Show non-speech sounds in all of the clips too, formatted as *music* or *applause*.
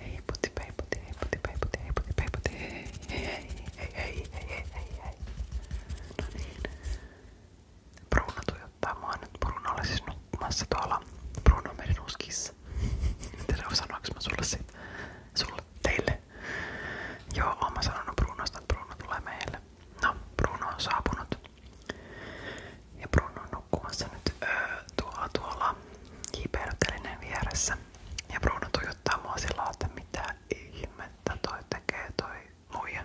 Hej putti, hej putti, hej putti, hej putti, hej putti, hej putti, hej, hej, hei, hei, hei, hei, hei. No niin. Bruno tuijottaa mua nyt. Bruno oli siis nukkumassa tuolla Bruno Merinuskissa. En tiedä, sanoinko mä sulle siitä. Sulle, teille. Joo, oon mä sanonut Brunosta, että Bruno tulee meille. No, Bruno on saapunut. Ja Bruno on nukkumassa nyt öö, tuolla tuolla kiipeilykkelinen vieressä. Ja Bruno tuijottaa mua sillä mitä ihmettä toi tekee toi muija.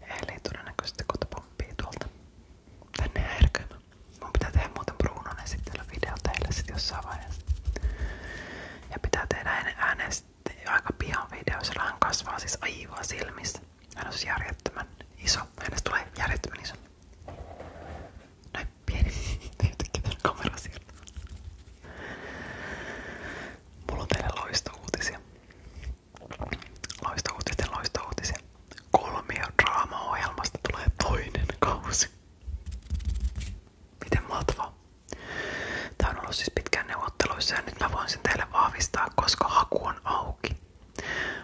Eli todennäköisesti kohta pomppii tuolta tänne härkymään. Mun pitää Brunon esittelyvideo teille sit jossain Ja pitää tehdä ennen äänestä pian video, sillä hän siis aivan silmissä. Hän on siis järjettömän iso. Hänestä tulee järjettömän iso. Noin pieni. Yhtäkkiä täällä kamera Mulla on teille loistouutisia. Loistouutisten loistouutisia. Kolmio draama tulee toinen kausi. Miten mahtavaa. Tää on ollut siis pitkään neuvotteluissa ja nyt mä voin sen teille vahvistaa, koska haku on auki.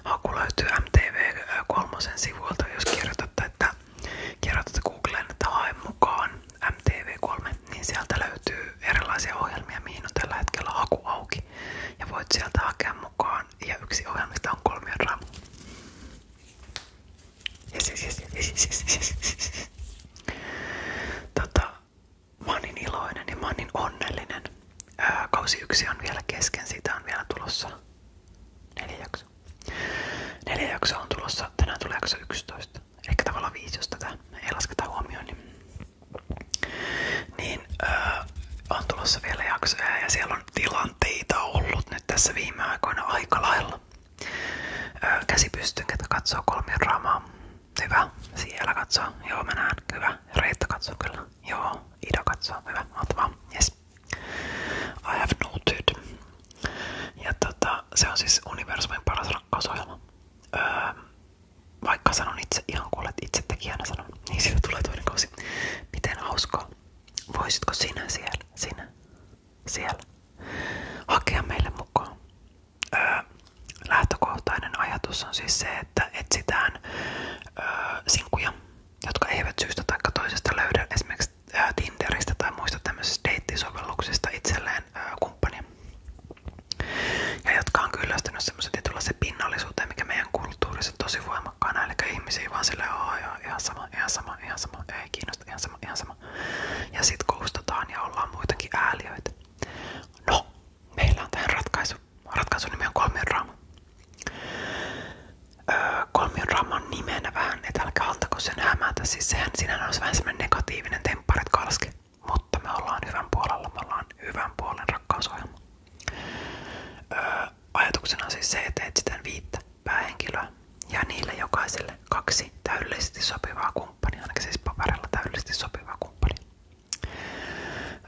Haku löytyy MTV3 sivuilta, jos kirjoitatte, että kirjoitatte Googleen, että hae mukaan MTV3, niin sieltä löytyy erilaisia ohjelmia, mihin on tällä hetkellä haku auki. Ja voit sieltä hakea mukaan. Ja yksi ohjelmista on kolmion raamu. Yes, yes, yes, yes, yes, yes. Tota, mä oon niin iloinen ja mä oon niin onnellinen. Ää, yksi on vielä kesken, siitä on vielä tulossa neljä jaksoa. on tulossa, tänään tulee jakso 11. Ehkä tavallaan viisi, jos tätä ei lasketa huomioon. Niin, niin on tulossa vielä jaksoja ja siellä on tilanteita ollut nyt tässä viime aikoina aika lailla. Ää, käsi katsoo kolmio draamaa. Hyvä, siellä katsoo. Joo, mä näen. Hyvä. Reetta katsoo kyllä. Joo, Ida katsoo. Hyvä, oot vaan. Yes. I have noted. Ja tota, se on siis universumin paras rakkausohjelma. Öö, vaikka sanon itse ihan kuulet itse tekijänä sanon, niin siitä tulee toinen kausi. Miten hauskaa. Voisitko sinä siellä, sinä, siellä hakea meille mukaan? Öö, lähtökohtainen ajatus on siis se, että etsitään öö, sinkkuja jotka eivät syystä tai toisesta löydä esimerkiksi Tinderistä tai muista tämmöisistä deittisovelluksista itselleen kumppania. Ja jotka on kyllästynyt semmoisen se pinnallisuuteen, mikä meidän kulttuurissa on tosi voimakkaana. Eli ihmisiä vaan silleen, joo, joo, ihan sama, ihan sama, ihan sama, ei kiinnosta, ihan sama, ihan sama. Ja sit koustataan ja ollaan muutenkin ääliöitä. No, meillä on tähän ratkaisu. Ratkaisun nimi on Kolmion Draama. Öö, kolmion Draaman nimenä vähän, että älkää antako sen hämätä. Siis sehän sinänsä olisi vähän semmonen negatiivinen tempparit kalski. Mutta me ollaan hyvän puolella, me ollaan hyvän puolen rakkausohjelma. Öö, ajatuksena on siis se, että etsitään viittä päähenkilöä ja niille jokaiselle kaksi täydellisesti sopivaa kumppania, ainakin siis paperilla täydellisesti sopivaa kumppania.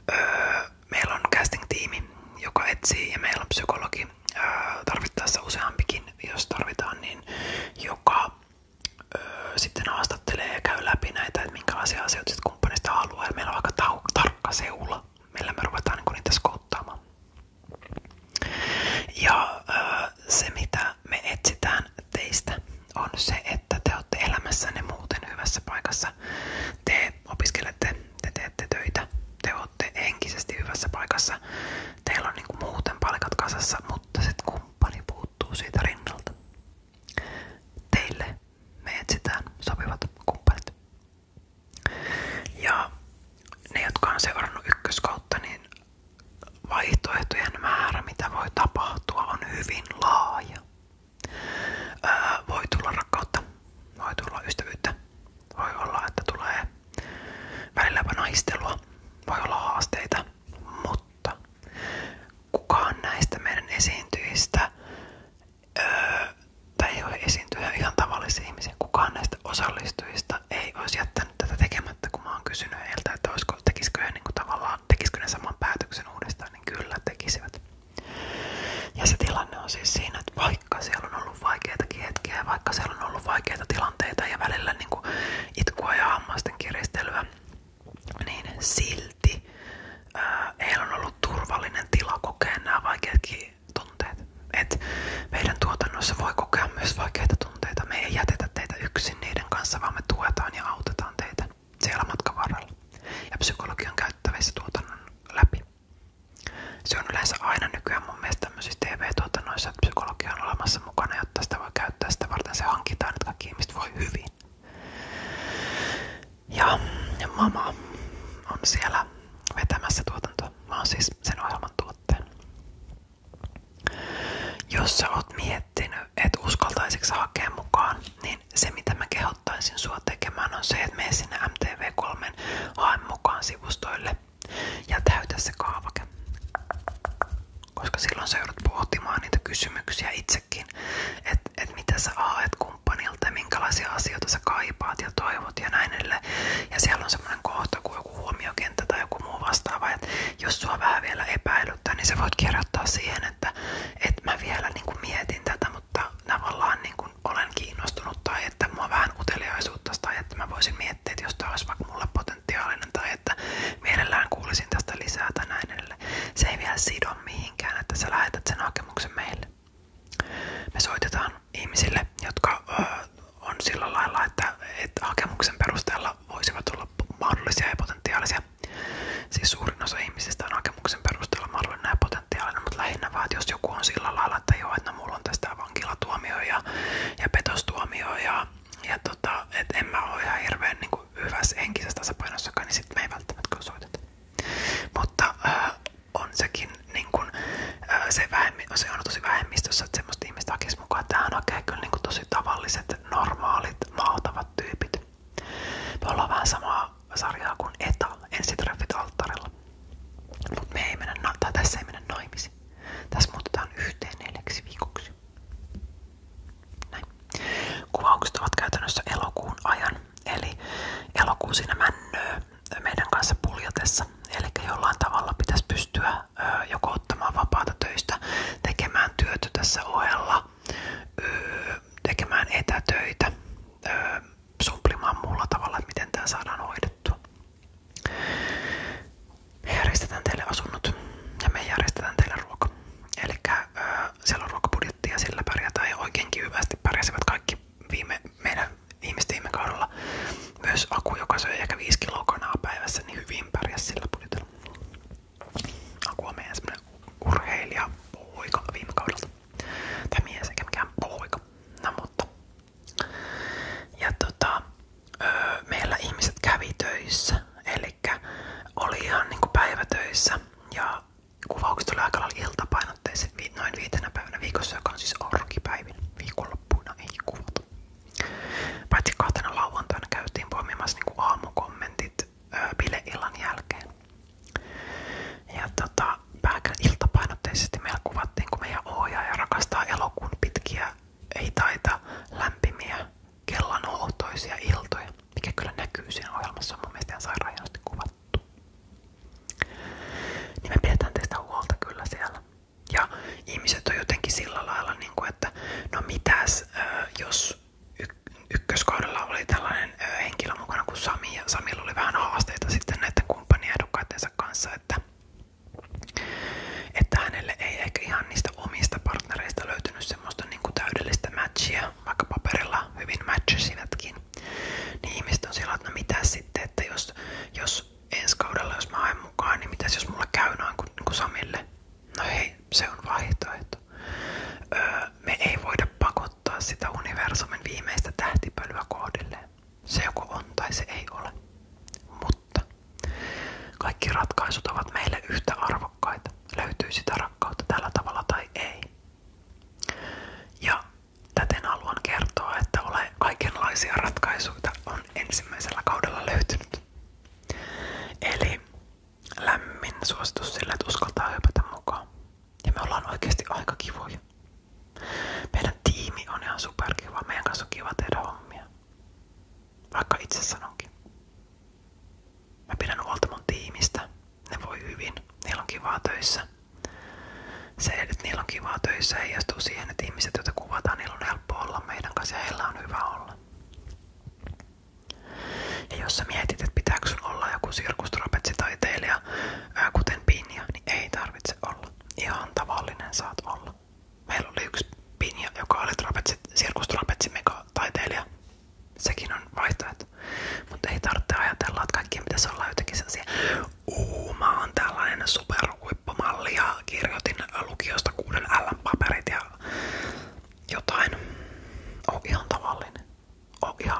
Öö, meillä on casting-tiimi, joka etsii ja meillä on öö, tarvittaessa useampikin, jos tarvitaan, niin joka öö, sitten haastattelee ja käy läpi näitä, että asioita sitten kumppanista meillä on aika ta tarkka seula, niinku Ja öö, se mitä me etsitään teistä on se, että te olette elämässänne muuten hyvässä paikassa te opiskelette, te teette töitä, te olette henkisesti hyvässä paikassa. Teillä on niinku muuten palkat kasassa, mutta se kumppani puuttuu siitä rinnalta. Teille me etsitään sopivat kumppanit. Ja ne, jotka on seurannut ykköskautta, niin vaihtoehtojen määrä, mitä voi tapahtua, on hyvin laaja. Öö, voi tulla rakkautta, voi tulla ystävyyttä, voi olla, että tulee välilläpä voi olla haasteita, mutta kukaan näistä meidän esiintyjistä tai ei ihan tavallisia kukaan näistä osallistujista ei olisi tätä tekemättä, kun mä oon että olisiko, tekisikö he niin kuin, päätöksen uudestaan, niin kyllä tekisivät. Ja se tilanne on siis siinä, että vaikka siellä on ollut vaikeita hetkiä vaikka siellä on ollut vaikeita tilanteita ja välillä niin kuin itkua ja hammasten kiristelyä, niin silti ää, äh, heillä on ollut turvallinen tila kokea nämä vaikeatkin tunteet. Et meidän tuotannossa voi kokea myös vaikeita tunteita. Me ei jätetä teitä yksin niiden kanssa, vaan me tuetaan ja autetaan teitä siellä matkan varrella, ja psykologi on käyttävissä tuotannon läpi. Se on yleensä aina nykyään mun mielestä tämmöisissä TV-tuotannoissa, että psykologia on olemassa mukana, jotta sitä voi käyttää sitä varten, se hankitaan, että kaikki ihmiset voi hyvin. Ja, ja mama on siellä vetämässä tuotantoa. Mä oon siis sen ohjelman tuotteen. Jos sä oot miettinyt, että uskaltaisiksi hakea mukaan, niin niin se mitä mä kehottaisin sua tekemään on se, että mene sinne MTV3 haen mukaan sivustoille ja täytä se kaavake. Koska silloin sä joudut pohtimaan niitä kysymyksiä itsekin, että et mitä sä haet kumppanilta, minkälaisia asioita sä kaipaat ja toivot ja näin edelleen. Ja siellä on semmoinen kohta kuin joku huomiokenttä tai joku muu vastaava, että jos sua vähän vielä epäilyttää, niin sä voit kirjoittaa siihen, että et mä vielä niin mietin tätä, mutta tavallaan niin kuin olen kiinnostunut tai että mua vähän uteliaisuutta tai että mä voisin miettiä, että jos tämä olisi vaikka mulle potentiaalinen tai että mielellään kuulisin tästä lisää tai näin edelleen. Se ei vielä sido mihinkään, että sä lähetät sen hakemuksen meille. Me soitetaan ihmisille, jotka on sillä lailla, että, että hakemuksen perusteella voisivat olla mahdollisia ja potentiaalisia ihmisiä. Siis suurin osa ihmisistä on hakemuksen perusteella mahdollinen ja potentiaalinen, mutta lähinnä vaan, että jos joku on sillä lailla, että joo, että no mulla on tästä vankilatuomio ja, ja petostuomio ja, ja tota, että en mä oo ihan hirveen niin hyvässä henkisessä tasapainossakaan, niin sit me ei välttämättä soiteta. Mutta äh, on sekin niin kun, äh, se, vähemmi, se on tosi vähemmistössä, että semmoista ihmistä hakisi mukaan. Tähän hakee kyllä niin kun, tosi tavalliset, normaalit, maatavat tyypit. Me ollaan vähän samaa sarjaa kuin ETA, ensitreffit alttarilla. Mut me ei mennä, tai tässä ei mennä naimisiin. Tässä muutetaan yhteen neljäksi viikoksi. Näin. Kuvaukset ovat käytännössä elokuun ajan, eli elokuu siinä männöö meidän kanssa puljatessa. Eli jollain tavalla pitäisi pystyä joko ottamaan vapaata töistä, tekemään työtä tässä ohella tekemään etätöitä, öö, sumplimaan muulla tavalla, että miten tämä saadaan hoidettua. Me järjestetään teille asunnot ja me järjestetään teille ruoka. Eli öö, siellä on ruokabudjetti ja sillä pärjätään ja oikeinkin hyvästi pärjäsivät kaikki viime, meidän viimeistä viime kaudella. Myös Aku, joka söi ehkä 5 kiloa kanaa päivässä, niin hyvin pärjäsi sillä budjetilla. Aku on meidän urheilija poika viime kaudelta. Tai mies eikä no, mutta. Ja tota, meillä ihmiset kävi Eli oli niinku päivätöissä. Ja kuvaukset oli aika noin viitenä päivänä viikossa, joka on siis ei kuvata. Paitsi kahtena lauantaina käytiin poimimassa niinku aamukommentit bileillan jälkeen. Ja tota, iltapainotteisesti meillä kuvattiin, kun meidän ohjaaja rakastaa elokuun pitkiä, ei taita lämpimiä, iltoja, mikä kyllä näkyy siinä ohjelmassa, on kuvattu. Niin me pidetään teistä huolta kyllä siellä. Ja ihmiset on sillä lailla, niin kuin, että no mitäs, jos ykköskaudella oli tällainen henkilö mukana kuin Sami, ja Samilla oli vähän haasteita sitten näiden kumppaniehdokkaitensa kanssa, että, että hänelle ei ehkä ihan niistä omista partnereista löytynyt semmoista niin kuin täydellistä matchia, vaikka paperilla hyvin matchasivatkin. Niin ihmiset on sillä, että no mitä sitten, että jos, jos ensi kaudella, jos mä haen mukaan, niin mitäs jos mulla käy noin kuin, niin kuin Samille? No hei, se on vaihtoehto. Öö, me ei voida pakottaa sitä universumin viimeistä tähtipölyä kohdilleen. Se joko on tai se ei ole. Mutta kaikki ratkaisut ovat meille yhtä arvokkaita. Löytyy sitä rakkautta tällä tavalla tai ei. Ja täten haluan kertoa, että ole kaikenlaisia ratkaisuja on ensimmäisellä kaudella löytynyt. Eli lämmin suositus sille, että uskaltaa hypätä mukaan. Ja me ollaan oikeasti aika kivoja. Meidän tiimi on ihan superkiva. Meidän kanssa on kiva tehdä hommia. Vaikka itse sanonkin. Mä pidän huolta mun tiimistä. Ne voi hyvin. Niillä on kivaa töissä. Se, että niillä on kivaa töissä, heijastuu siihen, että ihmiset, joita kuvataan, niillä on helppo olla meidän kanssa ja heillä on hyvä olla jos sä mietit, olla joku sirkustrapetsitaiteilija, ää, kuten Pinja, niin ei tarvitse olla. Ihan tavallinen saat olla. Meillä oli yksi Pinja, joka oli sirkustrapetsimekataiteilija. Sekin on vaihtoehto. Mutta ei tarvitse ajatella, että kaikkien pitäisi olla jotenkin sellaisia Uu, mä oon tällainen superhuippumalli ja kirjoitin lukiosta kuuden L-paperit ja jotain. On ihan tavallinen ole ihan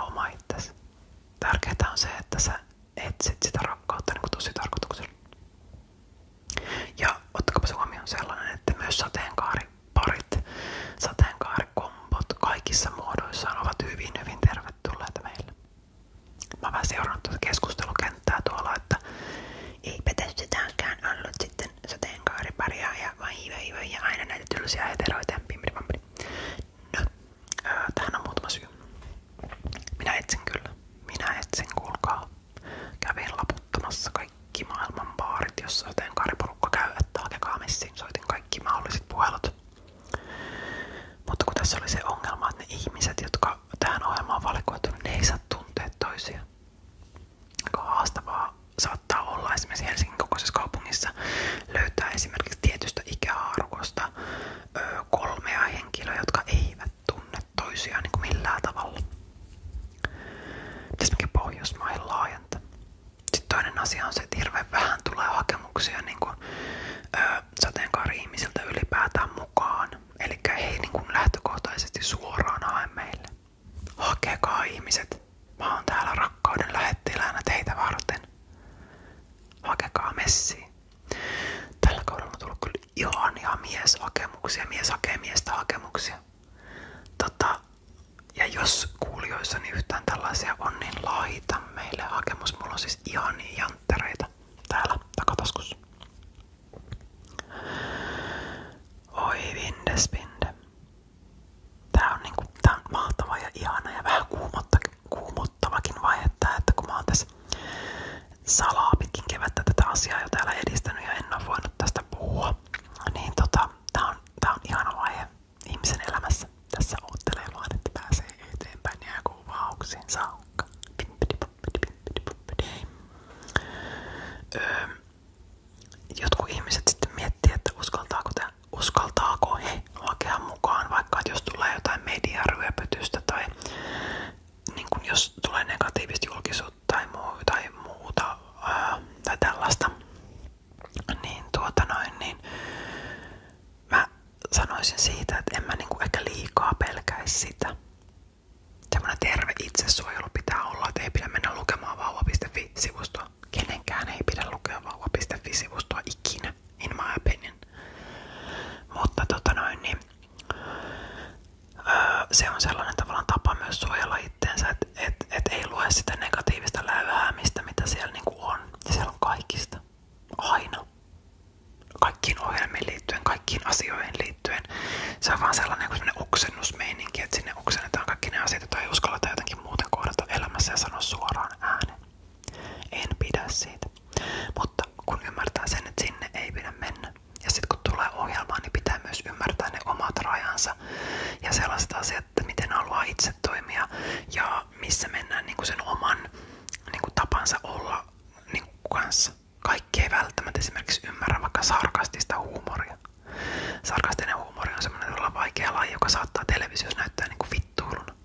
Tärkeintä on se, että sä etsit sitä rakkautta niin tosi tarkoituksella. Ja ottakaa se huomioon sellainen, että myös sateenkaariparit, kaikissa muodoissaan ovat hyvin, hyvin tervetulleita meille. Mä oon vähän seurannut tuota keskustelukenttää tuolla, että ei petestytäänkään ollut sitten sateenkaariparia ja vain hiivä ja aina näitä tylsiä heteroita ja pimpiripampiri. No, öö, tähän on muutama syy. Minä etsin kyllä. Minä etsin, kuulkaa. Kävin laputtamassa kaikki maailman baarit, jossa sateenkaariporukka käy, että hakekaa messiin. Soitin kaikki mahdolliset puhelut. Mutta kun tässä oli se ongelma, että ne ihmiset, jotka tähän ohjelmaan valikoituneet, ne ei saa tuntea toisiaan aika haastavaa saattaa olla esimerkiksi Helsingin kokoisessa kaupungissa löytää esimerkiksi tietystä ikähaarukosta ö, kolmea henkilöä, jotka eivät tunne toisiaan niin kuin millään tavalla. Pitäisi mekin Pohjoismaihin laajentaa. Sitten toinen asia on se, että hirveän vähän tulee hakemuksia niin kuin, ö, sateenkaari-ihmisiltä ylipäätään mukaan. Eli he ei niin kuin lähtökohtaisesti suoraan hae meille. Hakekaa ihmiset. Mä oon täällä rakkauden lähettiläänä teitä varten. Hakekaa messi. Tällä kaudella on tullut kyllä ihania mieshakemuksia. Mies hakee miestä hakemuksia. Tota, ja jos kuulijoissani niin yhtään tällaisia on, niin laita meille hakemus. Mulla on siis ihania janttereita täällä takataskussa. Oi vindespinde. Tää on, niinku, tää mahtava ja ihana ja vähän kuumottavakin vaihe tää, että kun mä tässä salaa pitkin kevättä asiaa jo täällä edistänyt ja en tästä puhua, niin tota, tää tää on vaihe ihmisen elämässä. Tässä oottelee vaan, että pääsee eteenpäin ja kuvauksiin saakka. Öö, jotkut ihmiset sitten miettii, uskaltaako, te, uskaltaako he hakea mukaan, vaikka jos tulee jotain mediaryöpytystä tai niin kun jos tulee negatiivista julkisuutta tai, muuta ää, tai niin tuota noin, niin mä sanoisin siitä, että en niinku ehkä liikaa pelkäisi sitä. Semmoinen terve itsesuojelu pitää olla, että ei pidä mennä lukemaan sivustoa. Kenenkään ei pidä lukea vauva.fi-sivustoa ikinä, in my opinion. Mutta tota noin, niin, öö, se on sellainen tavallaan tapa myös suojella itteensä, että et, et ei lue sitä negatiivista läyhäämistä, mitä siellä niinku on. Ja siellä on kaikista. Aina. Kaikkiin ohjelmiin liittyen, kaikkiin asioihin liittyen. Se on vaan sellainen, sellainen oksennusmeininki, että ne oksennetaan kaikki ne asiat, joita ei uskalleta jotenkin muuten kohdata elämässä ja sanoa suoraan ääneen. En pidä siitä. Mutta kun ymmärtää sen, että sinne ei pidä mennä. Ja sitten kun tulee ohjelma, niin pitää myös ymmärtää ne omat rajansa ja sellaiset asiat, että miten haluaa itse toimia ja missä mennään niin kuin sen oman niin kuin tapansa olla niin kuin kanssa. Kaikki ei välttämättä esimerkiksi ymmärrä vaikka sarkastista huumoria. Sarkastinen huumori on semmoinen todella vaikea laji, joka saattaa televisiossa näyttää niinku vittuiluna.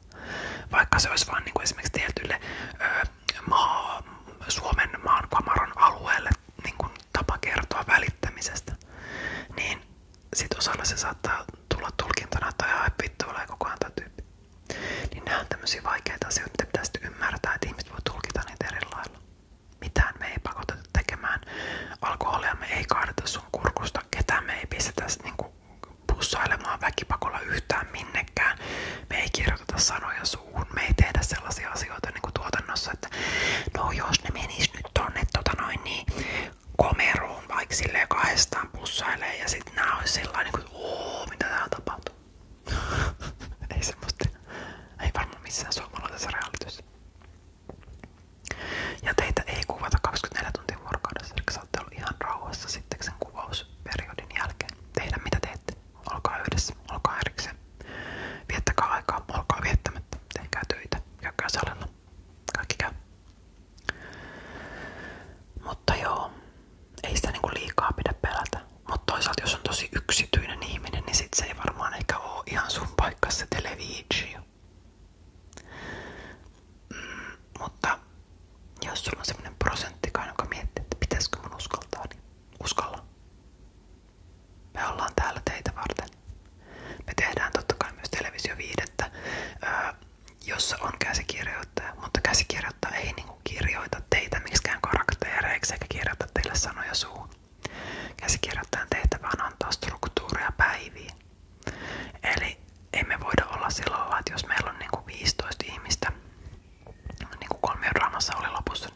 Vaikka se olisi vain niinku esimerkiksi tietylle ö, maa, Suomen maankamaron alueelle niinku tapa kertoa välittämisestä, niin sit osalla se saattaa tulla tulkintana, että ai vittu ole koko ajan tyyppi. Niin nämä on tämmöisiä vaikeita asioita, mitä pitäisi ymmärtää, että ihmiset voi tulkita niitä eri lailla mitään me ei pakoteta tekemään. Alkoholia me ei kaadeta sun kurkusta, ketään me ei pistetä niinku pussailemaan väkipakolla yhtään minnekään. Me ei kirjoiteta sanoja suuhun, me ei tehdä sellaisia asioita niinku tuotannossa, että no jos ne menis nyt tonne tota noin niin komeroon vaikka silleen kahdestaan pussailee ja sit nää ois sellainen niin ooo mitä täällä tapahtuu. *laughs* ei semmoista, ei varmaan missään suomalaisessa realityssä. Ja teitä ei kuvata 24 tuntia vuorokaudessa, eli saatte olla ihan rauhassa sitten sen kuvausperiodin jälkeen. Tehdä mitä teette. Olkaa yhdessä, olkaa erikseen. Viettäkää aikaa, olkaa viettämättä. Tehkää töitä, käykää salilla. Kaikki käy. Mutta joo, ei sitä niinku liikaa pidä pelätä. Mutta toisaalta jos on tosi yksityinen ihminen, niin sit se ei varmaan ehkä oo ihan sun paikka se televisio. Mm, mutta jos sulla on semmonen prosenttikaan, joka miettii, että pitäisikö mun uskaltaa, niin uskalla. Me ollaan täällä teitä varten. Me tehdään totta kai myös televisioviidettä, jossa on käsikirjoittaja, mutta käsikirjoittaja ei niinku kirjoita teitä miksikään karaktereiksi eikä kirjoita teille sanoja suun. Käsikirjoittajan tehtävä on antaa struktuuria päiviin. Eli emme voida olla sillä lailla, että jos meillä on niinku 15 ihmistä, niin kuin kolmiodraamassa oli lopussa,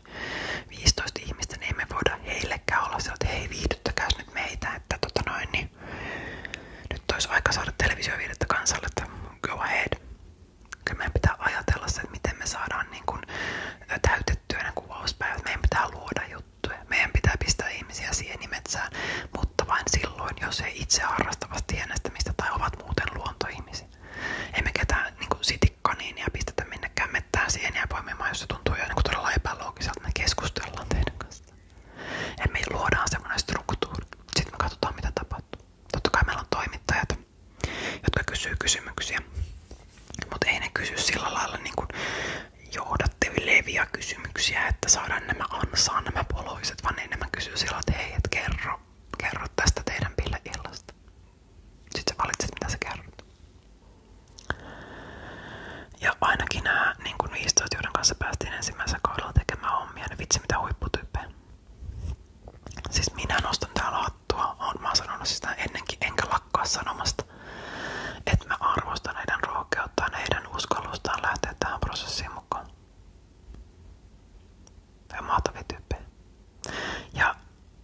niin 15 ihmistä, niin emme voida heillekään olla sillä, että hei viihdyttäkääs nyt meitä, että tota noin, niin nyt olisi aika saada televisioviidettä kansalle, että go ahead. Kyllä meidän pitää ajatella se, että miten me saadaan niin kuin täytettyä kuvauspäivät. Meidän pitää luoda juttuja. Meidän pitää pistää ihmisiä sienimetsään, mutta vain silloin, jos he itse harrastavat tienestämistä tai ovat muuten luontoihmisiä. Emme ketään niin sitikkaniinia pistetä minnekään mettään sieniä poimimaan, jos se tuntuu jo niin todella epäloogiselta. Me keskustellaan teidän kanssa. Ja me luodaan semmoinen struktuuri. Sitten me katsotaan, mitä tapahtuu. Totta kai meillä on toimittajat, jotka kysyy kysymyksiä. Mutta ei ne kysy sillä lailla niinku johdatteleviä kysymyksiä, että saadaan nämä ansaa nämä poloiset, vaan ei nämä kysy sillä että kerro, kerro tästä teidän pille illasta. Sitten valitset, mitä sä kerrot. Ja ainakin nämä niin kuin 15, joiden kanssa päästiin ensimmäisellä kaudella tekemään hommia, niin vitsi mitä huipputyyppejä. Siis minä nostan täällä hattua. on mä sanonut sitä ennenkin, enkä lakkaa sanomasta. Että mä arvostan heidän rohkeuttaan, heidän uskallustaan lähteä tähän prosessiin mukaan. Ja mahtavia tyyppejä. Ja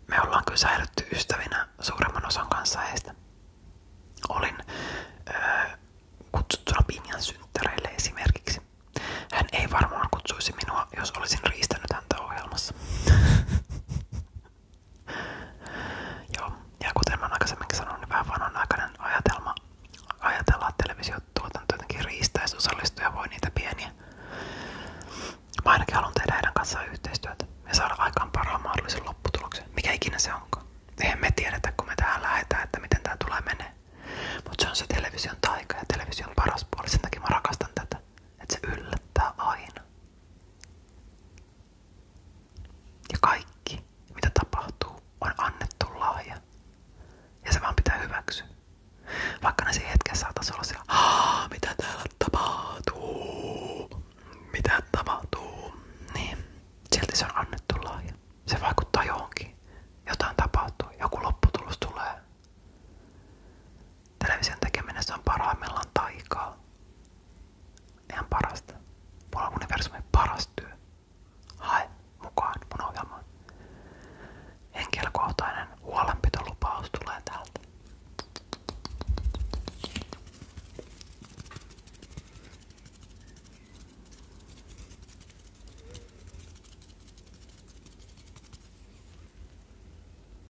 me ollaan kyllä säilytty ystävinä suuremman osan kanssa heistä. Olin öö, kutsuttuna Pinjan synttäreille esimerkiksi. Hän ei varmaan kutsuisi minua, jos olisin riistänyt häntä ohjelmassa. *laughs* Joo. Ja kuten mä aikaisemminkin sanoin, niin vähän vanhanaikainen ajatelma ajatella, että televisiotuotanto jotenkin riistäisi osallistuja voi niitä pieniä. Mä ainakin haluan tehdä heidän kanssaan yhteistyötä ja saada aikaan parhaan mahdollisen lopputuloksen, mikä ikinä se onkaan. Eihän me tiedetä, kun me tähän lähetään, että miten tämä tulee menee. Mutta se on se television taika ja television paras puoli, sen takia mä rakastan tätä. Että se yllättää aina. Ja kaikki, mitä tapahtuu, on annettu lahja. Ja se vaan pitää hyväksyä. Vaikka ne siinä hetkessä saataisi olla siellä, mitä täällä tapahtuu, mitä tapahtuu, niin silti se on annettu lahja. Se vaikuttaa johonkin. Jotain tapahtuu, joku lopputulos tulee. Television tekeminessä on parhaimmillaan taikaa. Ihan parasta. Mulla on universumin paras työ. Hae mukaan mun ohjelmaan. Henkilökohtainen huolenpitolupaus tulee täältä.